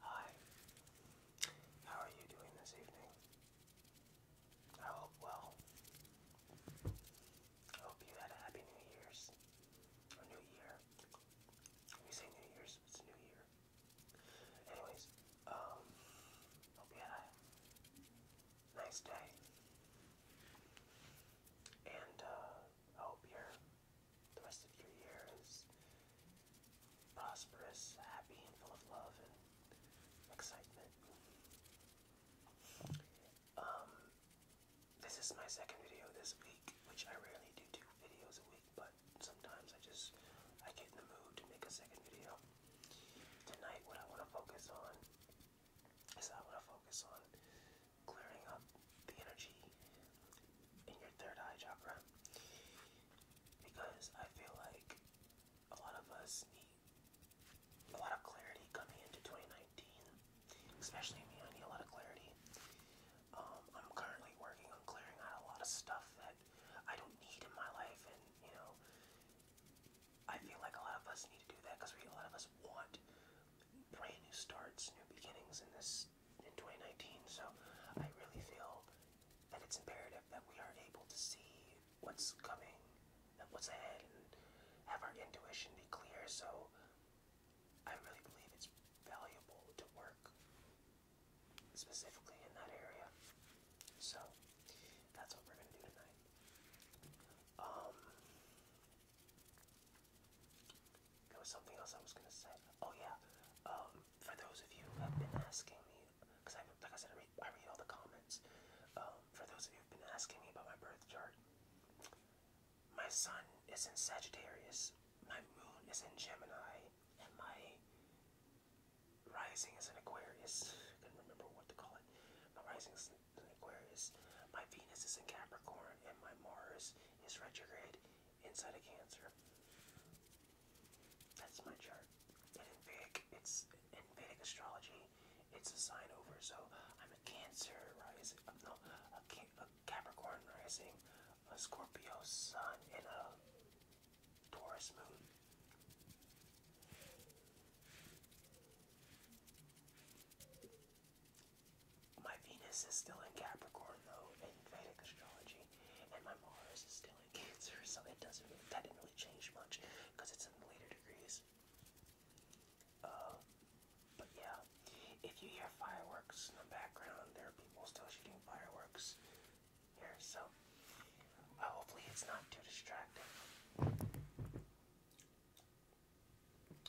Hi, how are you doing this evening? I hope well. I hope you had a happy New Year's or New Year. When say New Year's, it's New Year. Anyways, um, hope you had a nice day. And, uh, I hope your the rest of your year is prosperous, happy, and full of love and excitement. Um, this is my second video this week, which I rarely do two videos a week, but sometimes I just I get in the mood to make a second video. Tonight, what I want to focus on so I'm to focus on clearing up the energy in your third eye chakra because I feel like a lot of us need a lot of clarity coming into 2019, especially me. I need a lot of clarity. Um, I'm currently working on clearing out a lot of stuff that I don't need in my life, and you know, I feel like a lot of us need to do that because a lot of us want brand new starts, new beginnings in this in 2019. So I really feel that it's imperative that we are able to see what's coming, what's ahead, and have our intuition be clear. So I really believe it's valuable to work specifically in that area. So that's what we're gonna do tonight. Um, there was something else I was gonna say. Oh yeah, um, for those of you who have been asking me, because I, like I said, I read, I read all the comments. Um, for those of you who've been asking me about my birth chart, my sun is in Sagittarius, my moon is in Gemini, and my rising is in Aquarius. I couldn't remember what to call it. My rising is is Aquarius, my Venus is in Capricorn, and my Mars is retrograde inside of Cancer. That's my chart. in Vedic, it's in Vedic astrology, it's a sign over. So I'm a Cancer rising, uh, no, a Capricorn rising, a Scorpio sun, and a Taurus moon. My Venus is still in Capricorn though in Vedic astrology, and my Mars is still in Cancer, so it doesn't really, that didn't really change much because it's in the later degrees. Uh, but yeah, if you hear fireworks in the background, there are people still shooting fireworks here, so uh, hopefully it's not too distracting.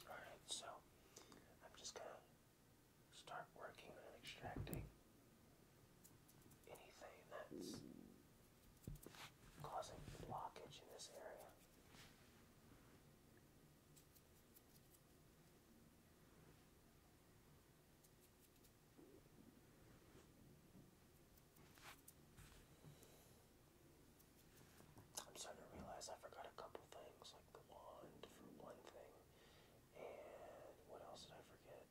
Alright, so I'm just going to start working on extracting anything that's causing blockage in this area. I'm starting to realize I forgot a couple things, like the wand for one thing, and what else did I forget?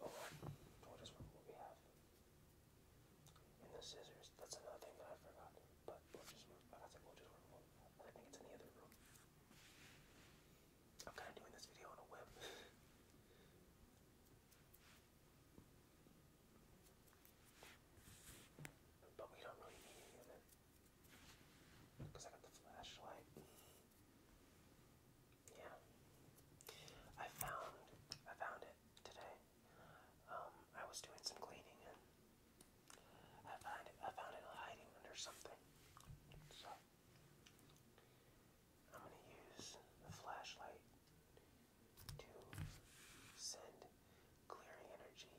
Oh, what is what we have? And the scissors. That's another thing that I forgot. But we'll just, I got to, we'll just, I think it's in other room. I'm kind of doing this video on a whim. but we don't really need it. Because I got the flashlight. Yeah. I found I found it today. Um, I was doing some cleaning and I found it I found it hiding under something. So I'm going to use the flashlight to send clearing energy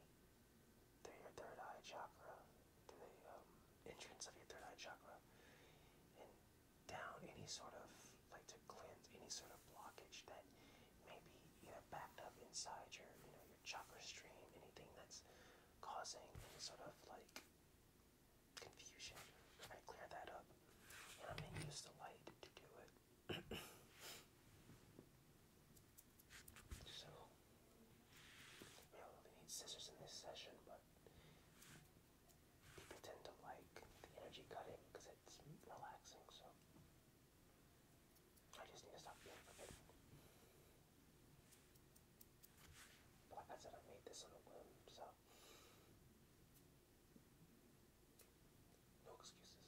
through your third eye chakra, to the um, entrance of your third eye chakra, and down any sort of, like to cleanse any sort of blockage that may be either backed up inside your, you know, your chakra stream, anything that's causing any sort of like confusion. I clear that up, I'm gonna use the light to do it. so, we don't really need scissors in this session, but people tend to like the energy cutting because it's relaxing. So, I just need to stop being forbidden. Like I said, I made this on a whim, so no excuses.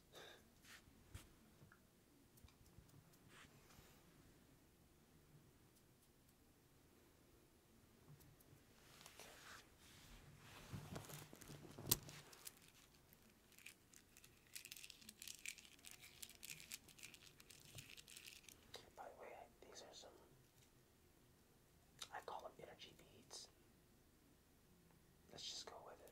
By the way, these are some I call them energy beads. Let's just go with it.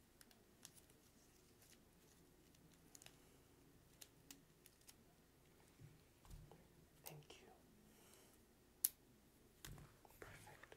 Thank you. Perfect.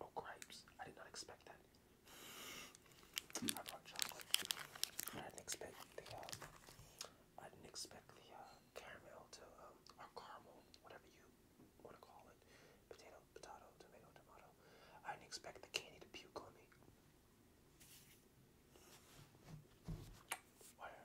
Oh grapes! I did not expect that. I brought chocolate. I didn't expect the um, I didn't expect the uh, caramel to um, or caramel, whatever you want to call it, potato, potato, tomato, tomato. I didn't expect the candy to puke on me. Whatever.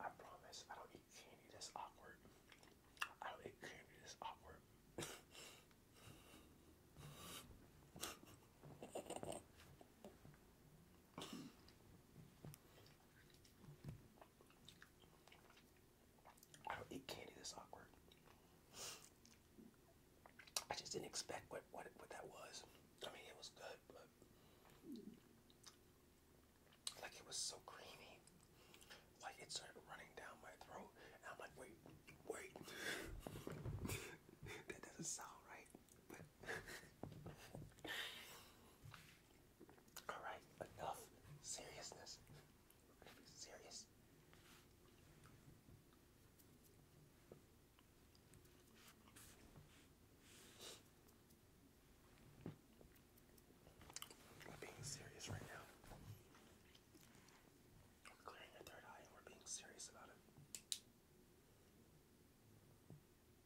I promise I don't eat candy that's awkward. I don't eat candy that's awkward. I don't eat candy this awkward. I just didn't expect what what what that was. I mean, it was good, but like it was so creamy, like it started running down my throat, and I'm like, wait, wait, that doesn't sound right. Alright, enough seriousness. serious. We're being serious right now. I'm clearing your third eye and we're being serious about it.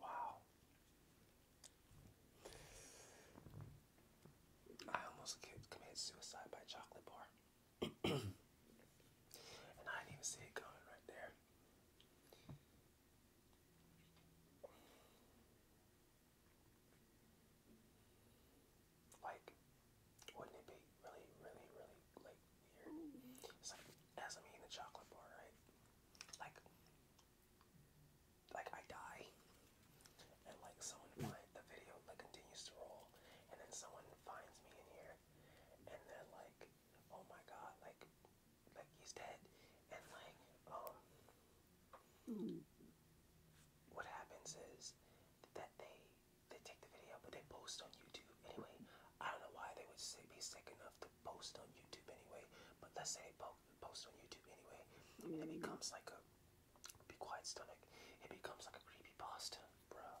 wow. I almost committed suicide by chocolate bar. and I didn't even see it coming right there. Like, wouldn't it be really, really, really like weird? It's like as I'm eating the chocolate bar, right? Like, like I die, and like someone finds the video like continues to roll, and then someone finds me in here, and then like, oh my god, like, like he's dead, and like, um, hmm. what happens is that they they take the video, but they post on YouTube anyway. I don't know why they would say be sick enough to post on YouTube anyway, but let's say they post on YouTube anyway. It becomes like a be quiet stomach. It becomes like a creepy pasta, bruh.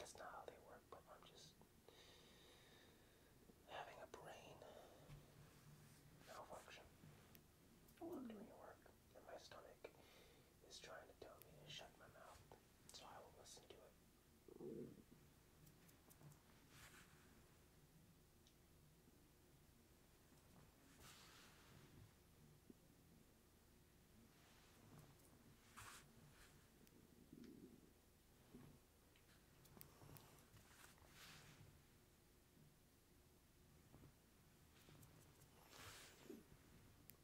That's not how they work, but I'm just having a brain malfunction. I will do your work, and my stomach is trying to tell me to shut my mouth, so I will listen to it.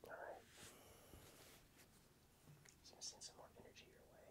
Alright. Just send some more energy your way.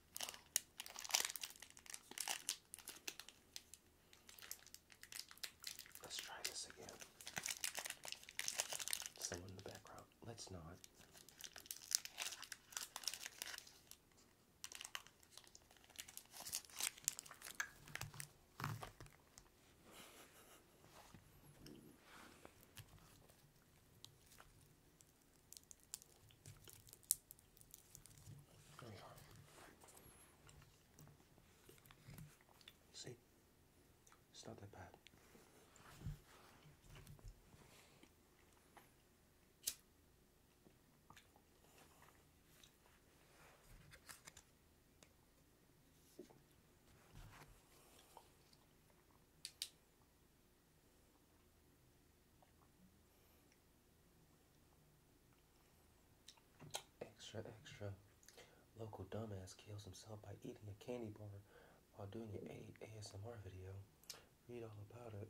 Let's try this again. Someone in the background. Let's not. See? It's not that bad. Extra, extra. Local dumbass kills himself by eating a candy bar while doing an ASMR video. Read all about it.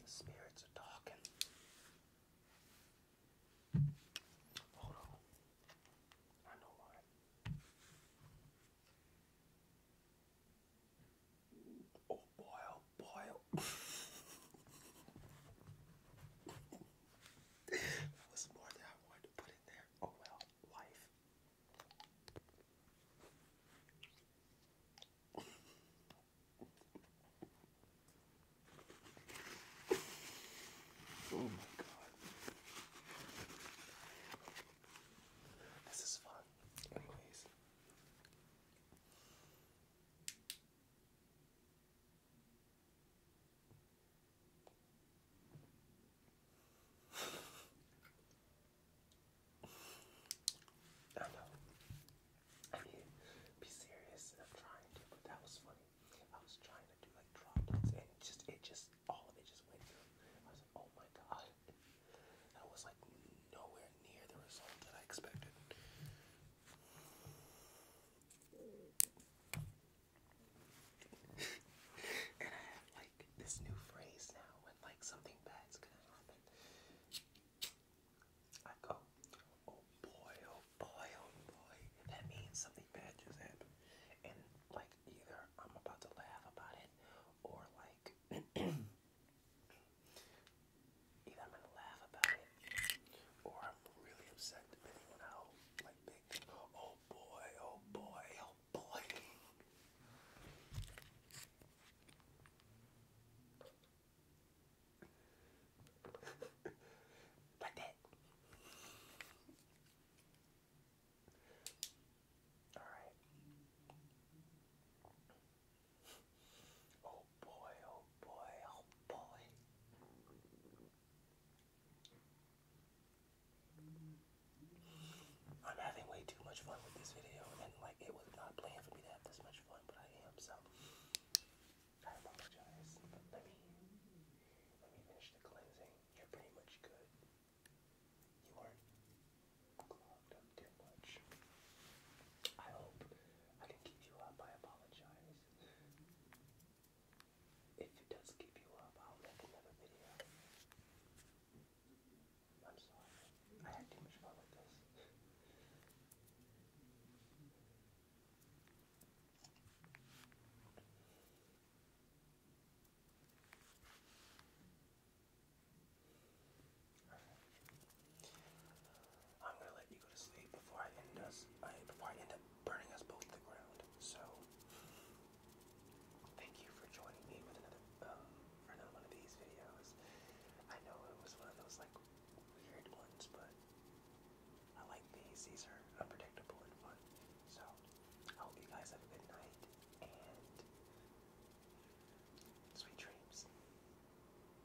The spirits are talking. Hold on. I know why. Oh boy, oh, boy. Oh. that more than I wanted put in there. Oh well, life. oh my god. This is fun. Anyways. I know. I mean, be serious. I'm trying to, but that was funny. I was trying to do like drop and just, it just, all of it just went through. I was like, oh my god. That was like nowhere near the result that I expected and I have like this new phrase now when like something bad's gonna happen. I go, oh boy, oh boy, oh boy. That means something bad just happened. And like either I'm about to laugh about it or like Either I'm gonna laugh about it, or I'm really upset depending on like big. Oh boy! Oh boy! Oh boy! like that. All right. Oh boy, oh boy, oh boy. I'm having way too much fun with this video, and like it was not planned for me to have this much fun, but I am, so I apologize. let me let me finish the cleansing. You're pretty much good. You aren't clogged up too much. I hope I didn't give you up. I apologize. If it does give you up, I'll make another video. I'm sorry. I had too much fun with this. I'm gonna let you go to sleep before I end us. before I end up burning us both to the ground. So, thank you for joining me um, for another one of these videos. I know it was one of those like weird ones, but I like these. These are unpredictable and fun. So, I hope you guys have a good night and sweet dreams.